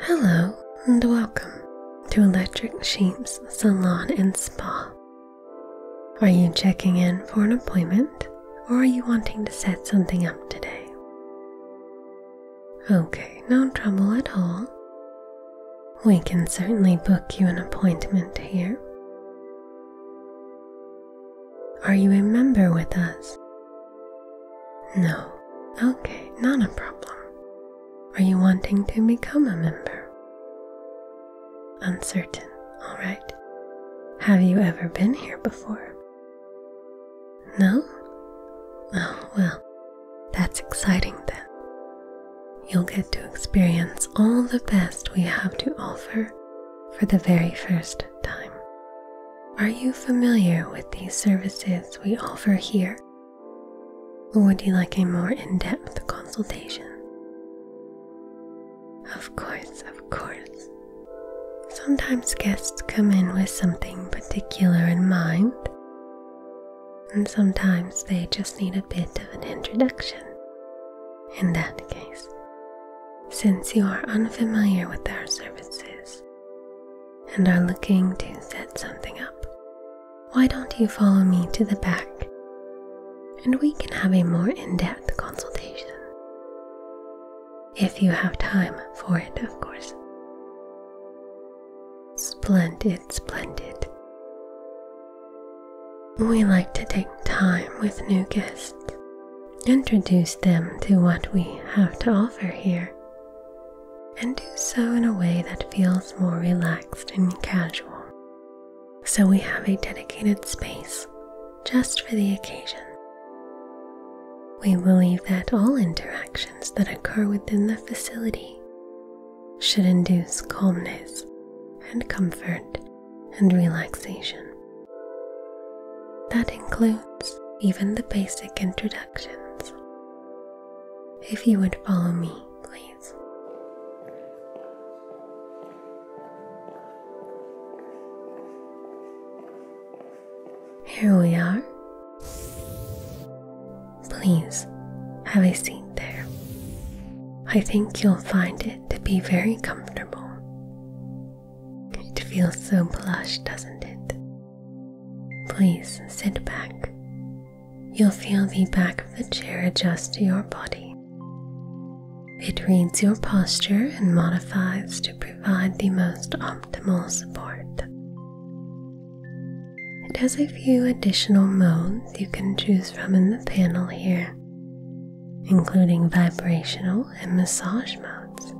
Hello and welcome to Electric Sheep's Salon and Spa. Are you checking in for an appointment or are you wanting to set something up today? Okay, no trouble at all. We can certainly book you an appointment here. Are you a member with us no. Okay, not a problem. Are you wanting to become a member? Uncertain, alright. Have you ever been here before? No? Oh, well, that's exciting then. You'll get to experience all the best we have to offer for the very first time. Are you familiar with these services we offer here? Would you like a more in depth consultation? Of course, of course. Sometimes guests come in with something particular in mind, and sometimes they just need a bit of an introduction. In that case, since you are unfamiliar with our services, and are looking to set something up, why don't you follow me to the back and we can have a more in depth consultation? If you have time for it, of course. Splendid, splendid. We like to take time with new guests Introduce them to what we have to offer here, and do so in a way that feels more relaxed and casual. So we have a dedicated space just for the occasion. We believe that all interactions that occur within the facility should induce calmness and comfort and relaxation. That includes even the basic introductions. If you would follow me, please. Here we are. Please have a seat there. I think you'll find it to be very comfortable. It feels so plush, doesn't it? Please sit back. You'll feel the back of the chair adjust to your body. It reads your posture and modifies to provide the most optimal support. It has a few additional modes you can choose from in the panel here, including vibrational and massage modes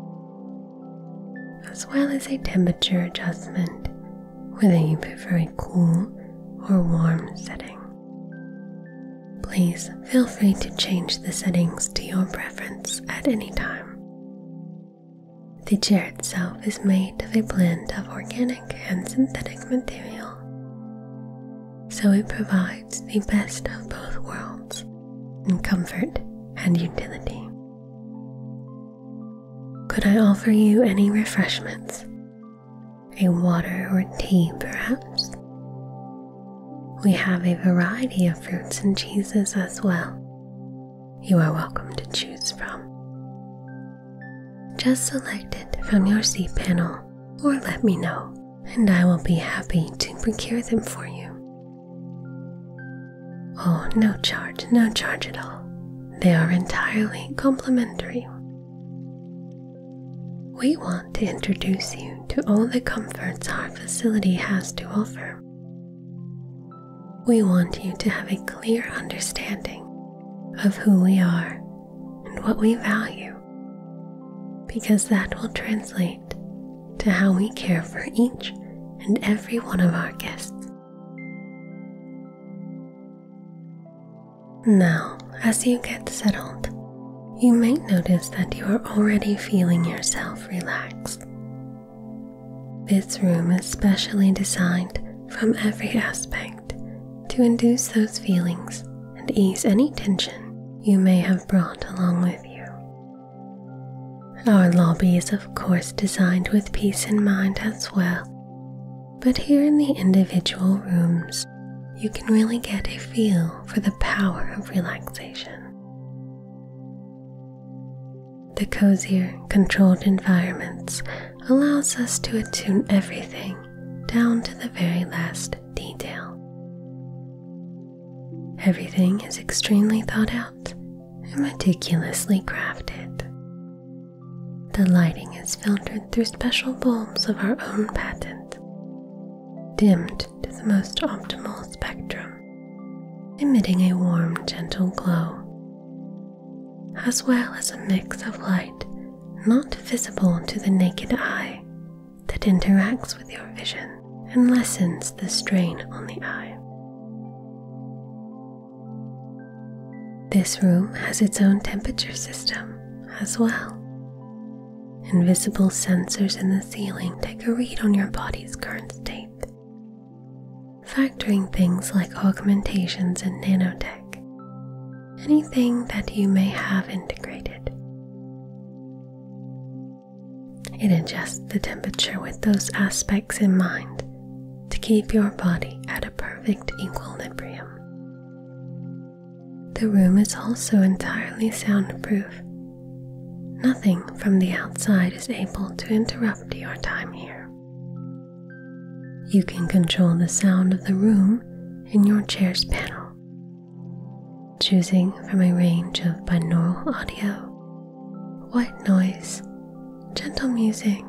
as well as a temperature adjustment whether you prefer a cool or warm setting. Please feel free to change the settings to your preference at any time. The chair itself is made of a blend of organic and synthetic material, so it provides the best of both worlds in comfort and utility. Could I offer you any refreshments? A water or tea, perhaps? We have a variety of fruits and cheeses as well. You are welcome to choose from. Just select it from your seed panel or let me know, and I will be happy to procure them for you. Oh, no charge, no charge at all. They are entirely complimentary. We want to introduce you to all the comforts our facility has to offer. We want you to have a clear understanding of who we are and what we value, because that will translate to how we care for each and every one of our guests. Now, as you get settled, you may notice that you are already feeling yourself relax. This room is specially designed from every aspect to induce those feelings and ease any tension you may have brought along with you. Our lobby is, of course, designed with peace in mind as well, but here in the individual rooms, you can really get a feel for the power of relaxation. The cozier, controlled environments allows us to attune everything down to the very last detail. Everything is extremely thought out and meticulously crafted. The lighting is filtered through special bulbs of our own patent, dimmed to the most optimal spectrum, emitting a warm, gentle glow, as well as a mix of light not visible to the naked eye that interacts with your vision and lessens the strain on the eye. This room has its own temperature system as well. Invisible sensors in the ceiling take a read on your body's current state, factoring things like augmentations and nanotech, anything that you may have integrated. It adjusts the temperature with those aspects in mind to keep your body at a perfect equilibrium. The room is also entirely soundproof. Nothing from the outside is able to interrupt your time here. You can control the sound of the room in your chair's panel, choosing from a range of binaural audio white noise, gentle music,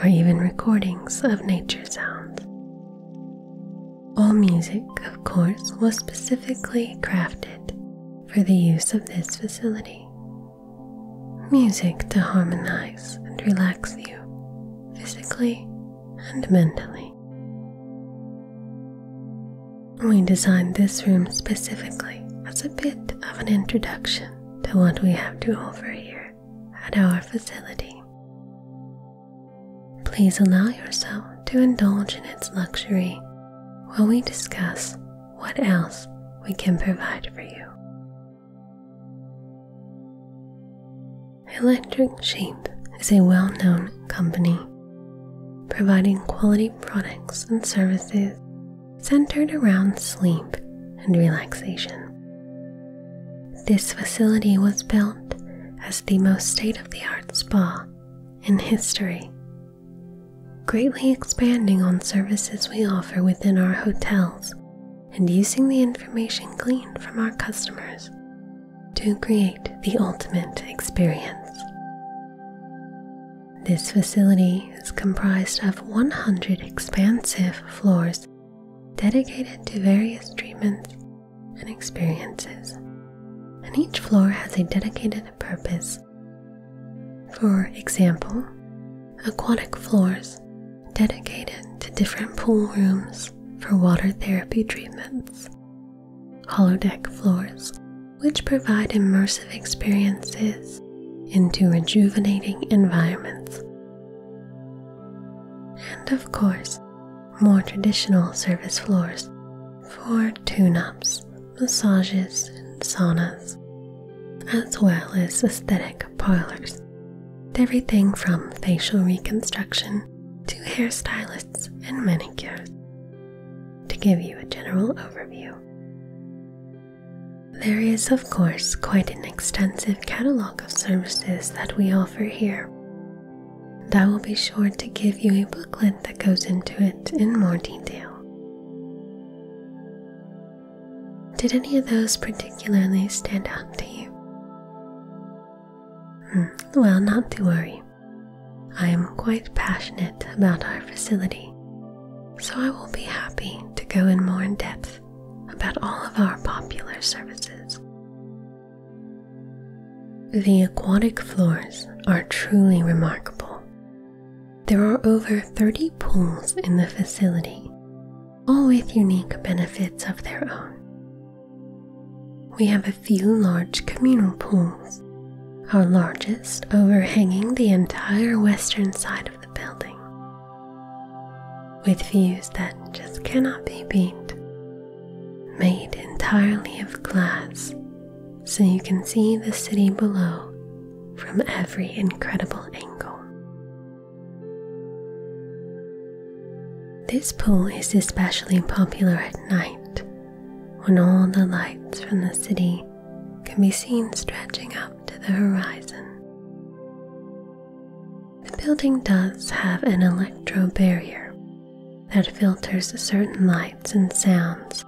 or even recordings of nature sounds. All music, of course, was specifically crafted for the use of this facility. Music to harmonize and relax you physically and mentally. We designed this room specifically as a bit of an introduction to what we have to offer here at our facility. Please allow yourself to indulge in its luxury while we discuss what else we can provide for you. Electric Sheep is a well known company providing quality products and services centered around sleep and relaxation. This facility was built as the most state of the art spa in history, greatly expanding on services we offer within our hotels and using the information gleaned from our customers to create the ultimate experience. This facility is comprised of 100 expansive floors dedicated to various treatments and experiences, and each floor has a dedicated purpose. For example, aquatic floors dedicated to different pool rooms for water therapy treatments, holodeck floors which provide immersive experiences into rejuvenating environments. And of course, more traditional service floors for tune ups, massages, and saunas, as well as aesthetic parlors. Everything from facial reconstruction to hairstylists and manicures, to give you a general overview. There is, of course, quite an extensive catalogue of services that we offer here. And I will be sure to give you a booklet that goes into it in more detail. Did any of those particularly stand out to you? Hmm, well, not to worry. I am quite passionate about our facility so I will be happy to go in more in depth about all of our popular services. The aquatic floors are truly remarkable. There are over 30 pools in the facility, all with unique benefits of their own. We have a few large communal pools, our largest overhanging the entire western side the building, with views that just cannot be beat, made entirely of glass so you can see the city below from every incredible angle. This pool is especially popular at night when all the lights from the city can be seen stretching up to the horizon. The building does have an electro barrier that filters certain lights and sounds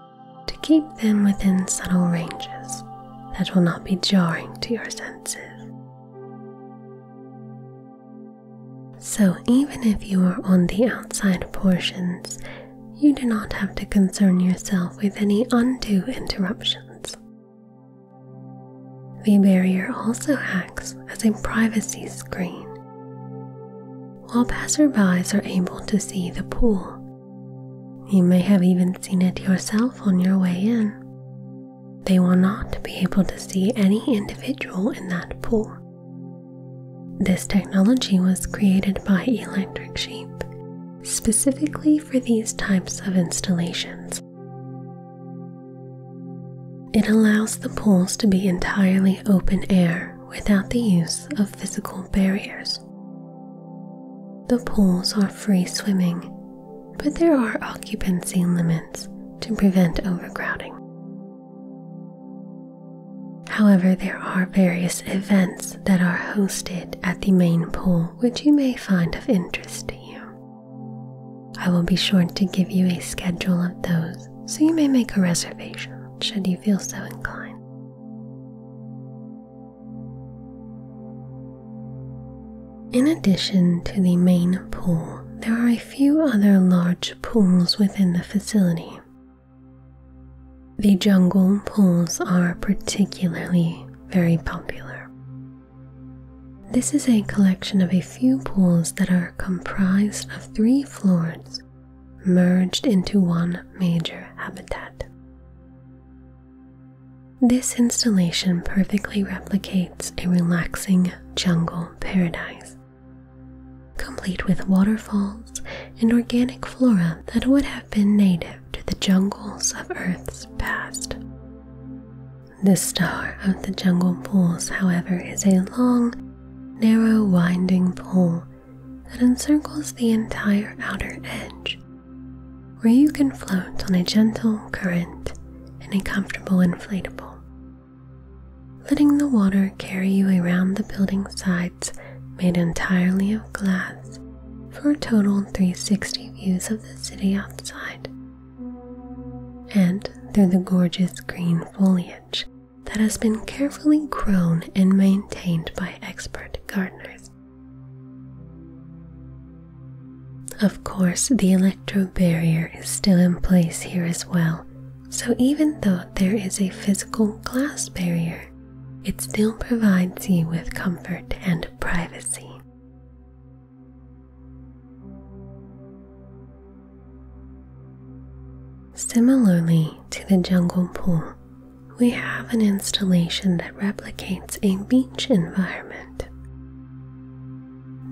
to keep them within subtle ranges that will not be jarring to your senses. So, even if you are on the outside portions you do not have to concern yourself with any undue interruptions. The barrier also acts as a privacy screen. While passersby are able to see the pool, you may have even seen it yourself on your way in. They will not be able to see any individual in that pool. This technology was created by Electric Sheep specifically for these types of installations. It allows the pools to be entirely open air without the use of physical barriers. The pools are free swimming, but there are occupancy limits to prevent overcrowding. However, there are various events that are hosted at the main pool, which you may find of interest to you. I will be sure to give you a schedule of those so you may make a reservation should you feel so inclined. In addition to the main pool, there are a few other large pools within the facility. The jungle pools are particularly very popular. This is a collection of a few pools that are comprised of three floors merged into one major habitat. This installation perfectly replicates a relaxing jungle paradise, complete with waterfalls and organic flora that would have been native to the jungles of Earth's past. The star of the jungle pools, however, is a long, narrow, winding pool that encircles the entire outer edge, where you can float on a gentle current in a comfortable inflatable. Letting the water carry you around the building sides made entirely of glass for a total 360 views of the city outside and through the gorgeous green foliage that has been carefully grown and maintained by expert gardeners. Of course, the electro barrier is still in place here as well, so even though there is a physical glass barrier, it still provides you with comfort and privacy. Similarly to the jungle pool, we have an installation that replicates a beach environment.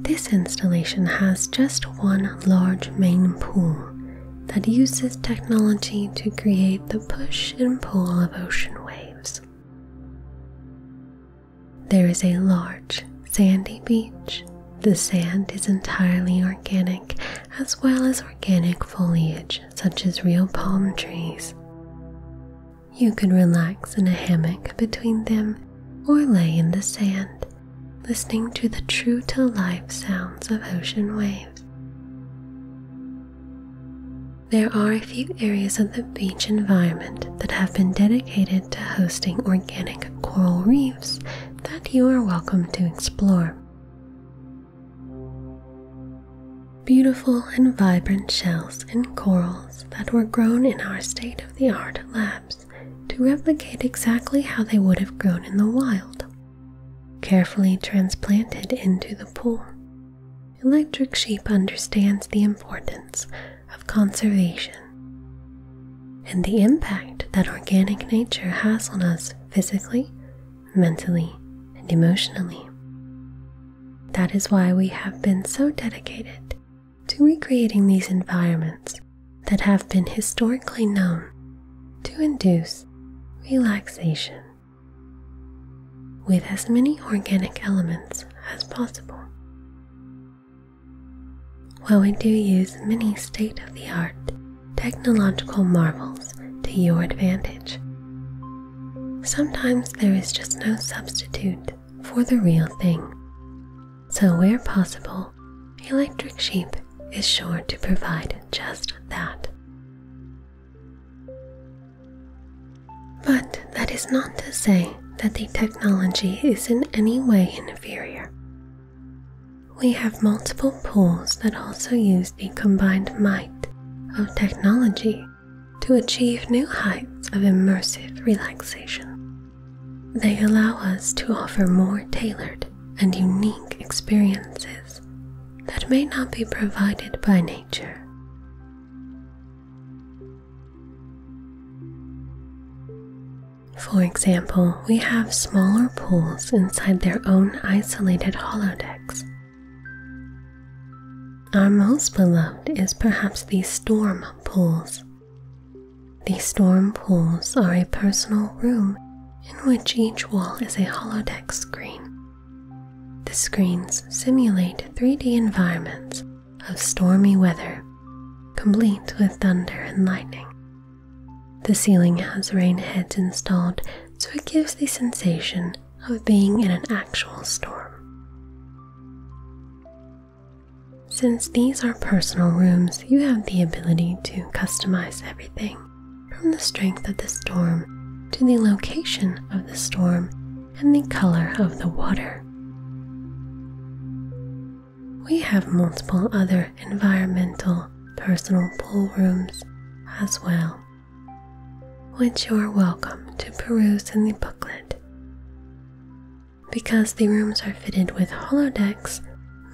This installation has just one large main pool that uses technology to create the push and pull of ocean waves. There is a large sandy beach. The sand is entirely organic, as well as organic foliage such as real palm trees. You can relax in a hammock between them or lay in the sand, listening to the true to life sounds of ocean waves. There are a few areas of the beach environment that have been dedicated to hosting organic coral reefs that you are welcome to explore. Beautiful and vibrant shells and corals that were grown in our state of the art labs to replicate exactly how they would have grown in the wild, carefully transplanted into the pool. Electric Sheep understands the importance of conservation and the impact that organic nature has on us physically, mentally, and emotionally. That is why we have been so dedicated to recreating these environments that have been historically known to induce relaxation with as many organic elements as possible. While we do use many state of the art technological marvels to your advantage, sometimes there is just no substitute for the real thing. So, where possible, Electric Sheep is sure to provide just that. But that is not to say that the technology is in any way inferior. We have multiple pools that also use the combined might of technology to achieve new heights of immersive relaxation. They allow us to offer more tailored and unique experiences that may not be provided by nature. For example, we have smaller pools inside their own isolated holodecks. Our most beloved is perhaps the storm pools. The storm pools are a personal room in which each wall is a holodeck screen the screens simulate 3D environments of stormy weather, complete with thunder and lightning. The ceiling has rain heads installed so it gives the sensation of being in an actual storm. Since these are personal rooms, you have the ability to customize everything from the strength of the storm to the location of the storm and the color of the water. We have multiple other environmental personal pool rooms as well, which you are welcome to peruse in the booklet. Because the rooms are fitted with holodecks,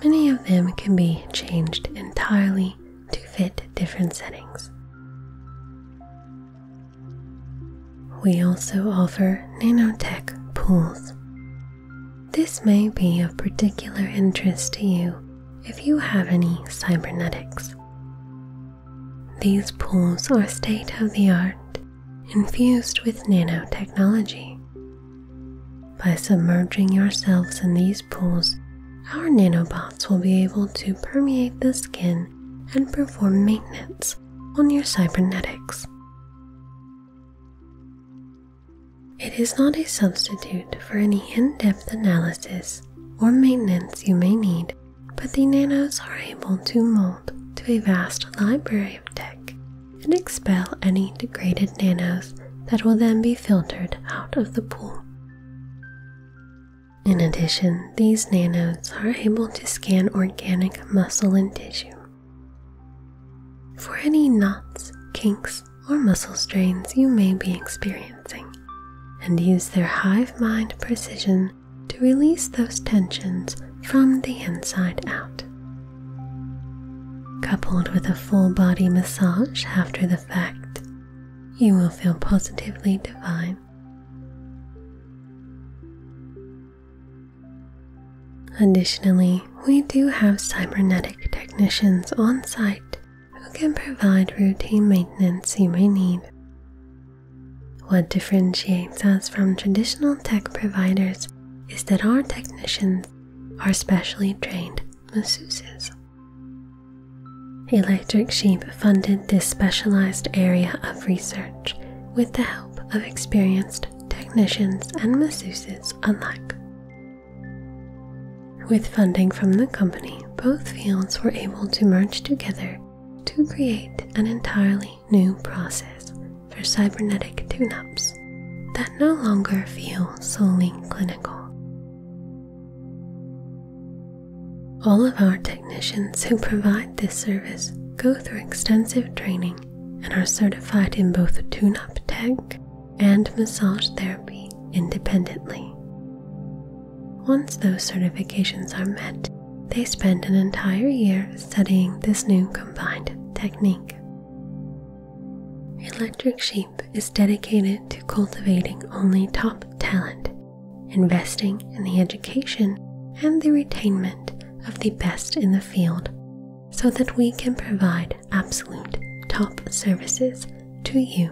many of them can be changed entirely to fit different settings. We also offer nanotech pools. This may be of particular interest to you if you have any cybernetics. These pools are state of the art, infused with nanotechnology. By submerging yourselves in these pools, our nanobots will be able to permeate the skin and perform maintenance on your cybernetics. It is not a substitute for any in depth analysis or maintenance you may need, but the nanos are able to mold to a vast library of tech and expel any degraded nanos that will then be filtered out of the pool. In addition, these nanos are able to scan organic muscle and tissue. For any knots, kinks, or muscle strains you may be experiencing, and use their hive mind precision to release those tensions from the inside out. Coupled with a full body massage after the fact, you will feel positively divine Additionally, we do have cybernetic technicians on site who can provide routine maintenance you may need. What differentiates us from traditional tech providers is that our technicians are specially trained masseuses. Electric Sheep funded this specialized area of research with the help of experienced technicians and masseuses alike. With funding from the company, both fields were able to merge together to create an entirely new process for cybernetic tune ups that no longer feel solely clinical. All of our technicians who provide this service go through extensive training and are certified in both tune up tech and massage therapy independently. Once those certifications are met, they spend an entire year studying this new combined technique. Electric Sheep is dedicated to cultivating only top talent investing in the education and the retention of the best in the field so that we can provide absolute top services to you.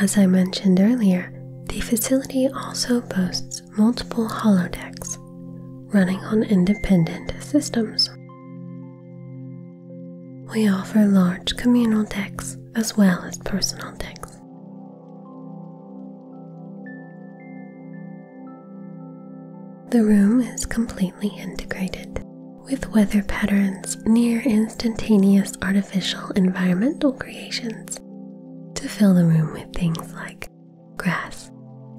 As I mentioned earlier, the facility also boasts multiple holodecks running on independent systems. We offer large communal decks as well as personal decks. The room is completely integrated with weather patterns near instantaneous artificial environmental creations to fill the room with things like grass,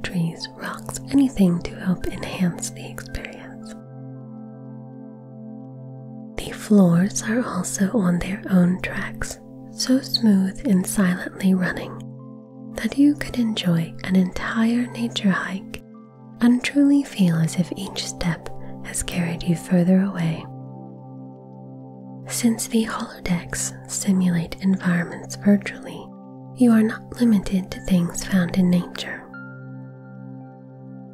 trees, rocks, anything to help enhance the experience. The floors are also on their own tracks, so smooth and silently running that you could enjoy an entire nature hike and truly feel as if each step has carried you further away. Since the holodecks simulate environments virtually, you are not limited to things found in nature.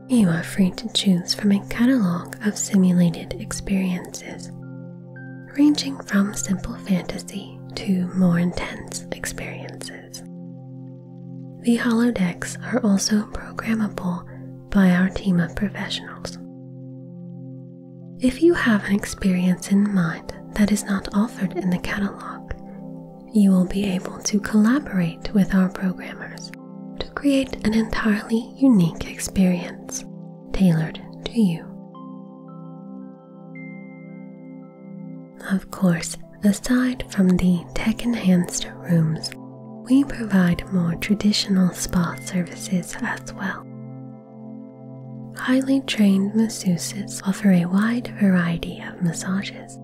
You are free to choose from a catalog of simulated experiences, ranging from simple fantasy to more intense experiences. The holodecks are also programmable by our team of professionals. If you have an experience in mind that is not offered in the catalog, you will be able to collaborate with our programmers to create an entirely unique experience tailored to you. Of course, aside from the tech enhanced rooms, we provide more traditional spa services as well. Highly trained masseuses offer a wide variety of massages,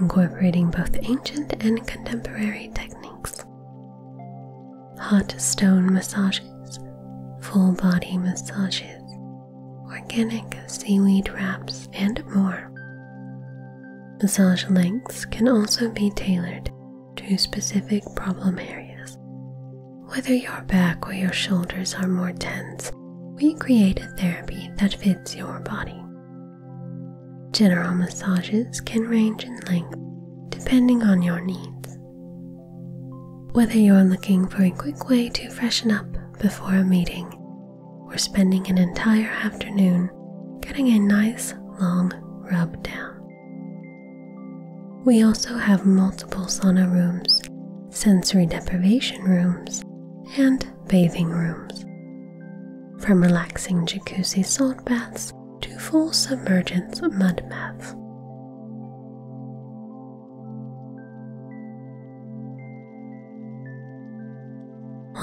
incorporating both ancient and contemporary techniques. Hot stone massages, full body massages, organic seaweed wraps, and more. Massage lengths can also be tailored to specific problem areas. Whether your back or your shoulders are more tense, we create a therapy that fits your body. General massages can range in length depending on your needs. Whether you're looking for a quick way to freshen up before a meeting or spending an entire afternoon getting a nice long rub down. We also have multiple sauna rooms, sensory deprivation rooms, and bathing rooms from relaxing jacuzzi salt baths to full submergence mud baths.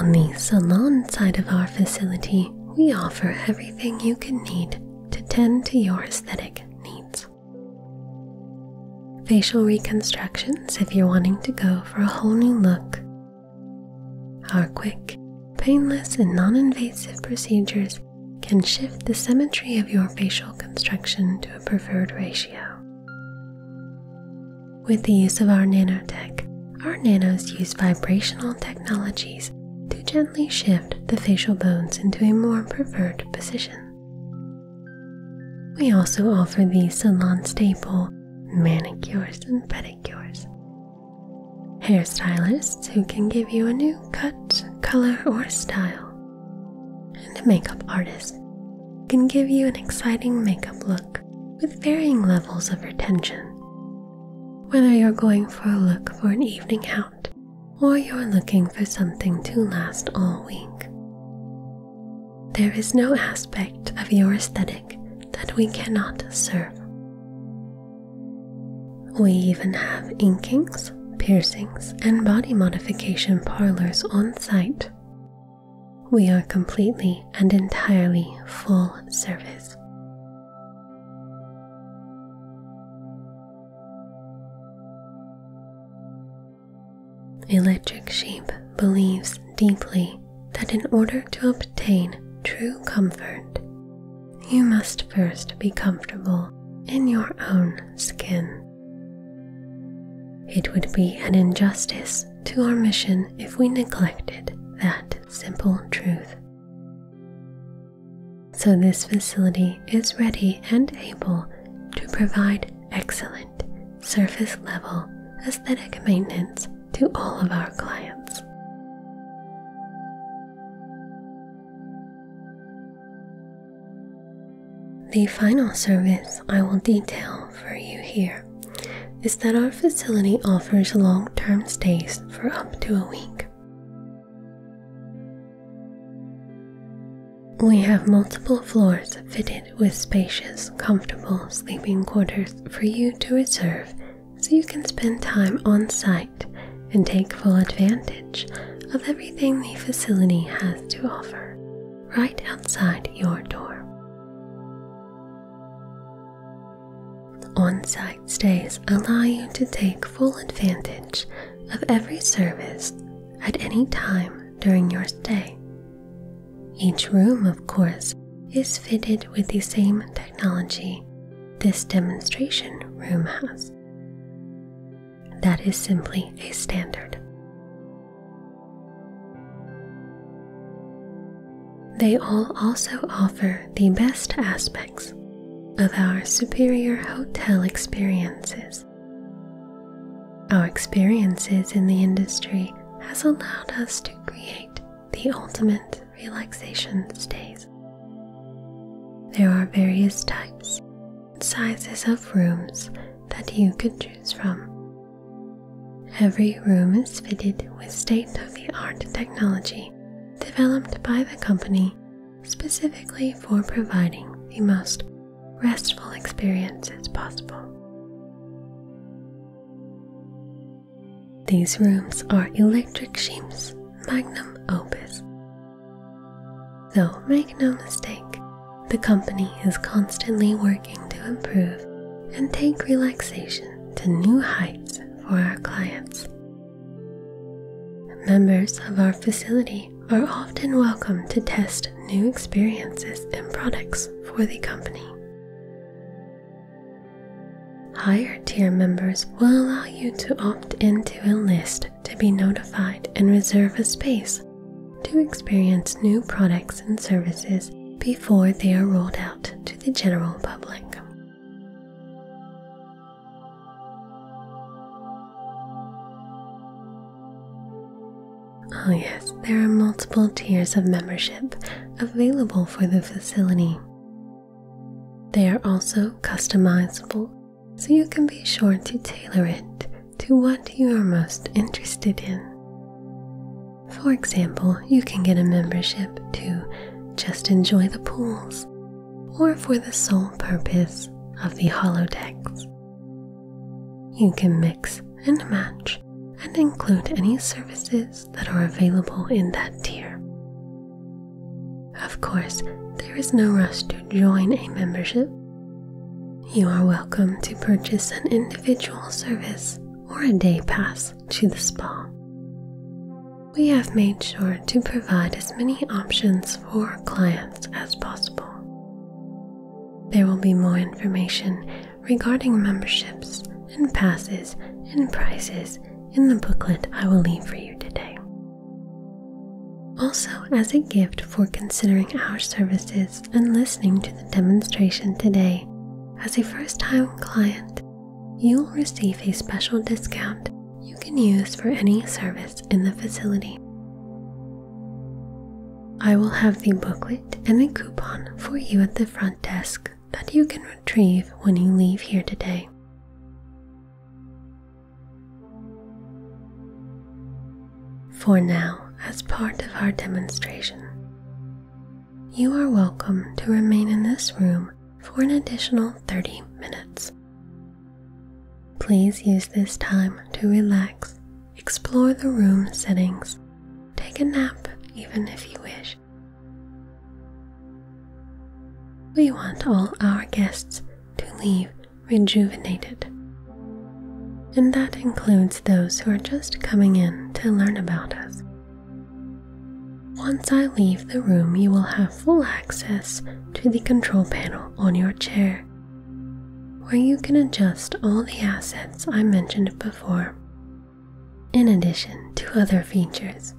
On the salon side of our facility, we offer everything you can need to tend to your aesthetic needs. Facial reconstructions if you're wanting to go for a whole new look, our quick, painless, and non invasive procedures can shift the symmetry of your facial construction to a preferred ratio. With the use of our nanotech, our nanos use vibrational technologies to gently shift the facial bones into a more preferred position. We also offer the salon staple manicures and pedicures hairstylists who can give you a new cut, color, or style, and a makeup artist who can give you an exciting makeup look with varying levels of retention. Whether you're going for a look for an evening out or you're looking for something to last all week, there is no aspect of your aesthetic that we cannot serve. We even have inkings, piercings, and body modification parlors on site. We are completely and entirely full service. Electric Sheep believes deeply that in order to obtain true comfort, you must first be comfortable in your own skin. It would be an injustice to our mission if we neglected that simple truth. So, this facility is ready and able to provide excellent surface level aesthetic maintenance to all of our clients. The final service I will detail for you here is that our facility offers long term stays for up to a week. We have multiple floors fitted with spacious, comfortable sleeping quarters for you to reserve so you can spend time on site and take full advantage of everything the facility has to offer right outside your door. On site stays allow you to take full advantage of every service at any time during your stay. Each room, of course, is fitted with the same technology this demonstration room has. That is simply a standard. They all also offer the best aspects of our superior hotel experiences. Our experiences in the industry has allowed us to create the ultimate relaxation stays. There are various types and sizes of rooms that you could choose from. Every room is fitted with state of the art technology developed by the company specifically for providing the most restful experiences possible. These rooms are Electric Sheep's magnum opus. Though make no mistake, the company is constantly working to improve and take relaxation to new heights for our clients. Members of our facility are often welcome to test new experiences and products for the company. Higher tier members will allow you to opt into a list to be notified and reserve a space to experience new products and services before they are rolled out to the general public. Oh, yes, there are multiple tiers of membership available for the facility. They are also customizable, so you can be sure to tailor it to what you are most interested in. For example, you can get a membership to just enjoy the pools or for the sole purpose of the holodecks. You can mix and match and include any services that are available in that tier. Of course, there is no rush to join a membership. You are welcome to purchase an individual service or a day pass to the spa. We have made sure to provide as many options for clients as possible. There will be more information regarding memberships and passes and prices in the booklet I will leave for you today. Also, as a gift for considering our services and listening to the demonstration today, as a first time client, you'll receive a special discount you can use for any service in the facility. I will have the booklet and the coupon for you at the front desk that you can retrieve when you leave here today. For now, as part of our demonstration, you are welcome to remain in this room for an additional 30 minutes. Please use this time to relax, explore the room settings, take a nap even if you wish. We want all our guests to leave rejuvenated, and that includes those who are just coming in to learn about us. Once I leave the room, you will have full access to the control panel on your chair, where you can adjust all the assets I mentioned before, in addition to other features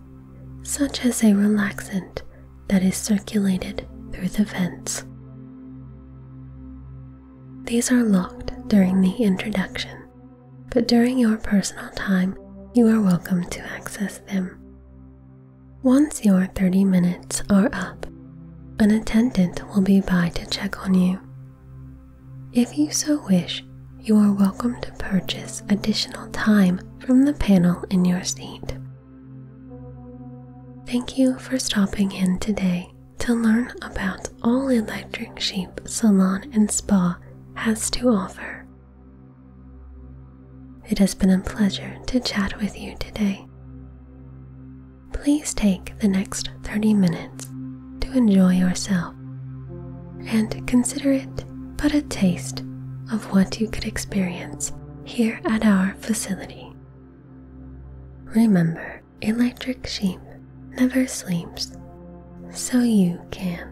such as a relaxant that is circulated through the vents. These are locked during the introduction, but during your personal time, you are welcome to access them. Once your 30 minutes are up, an attendant will be by to check on you. If you so wish, you are welcome to purchase additional time from the panel in your seat. Thank you for stopping in today to learn about all Electric Sheep Salon and Spa has to offer. It has been a pleasure to chat with you today. Please take the next 30 minutes to enjoy yourself and consider it but a taste of what you could experience here at our facility. Remember, electric sheep never sleeps, so you can.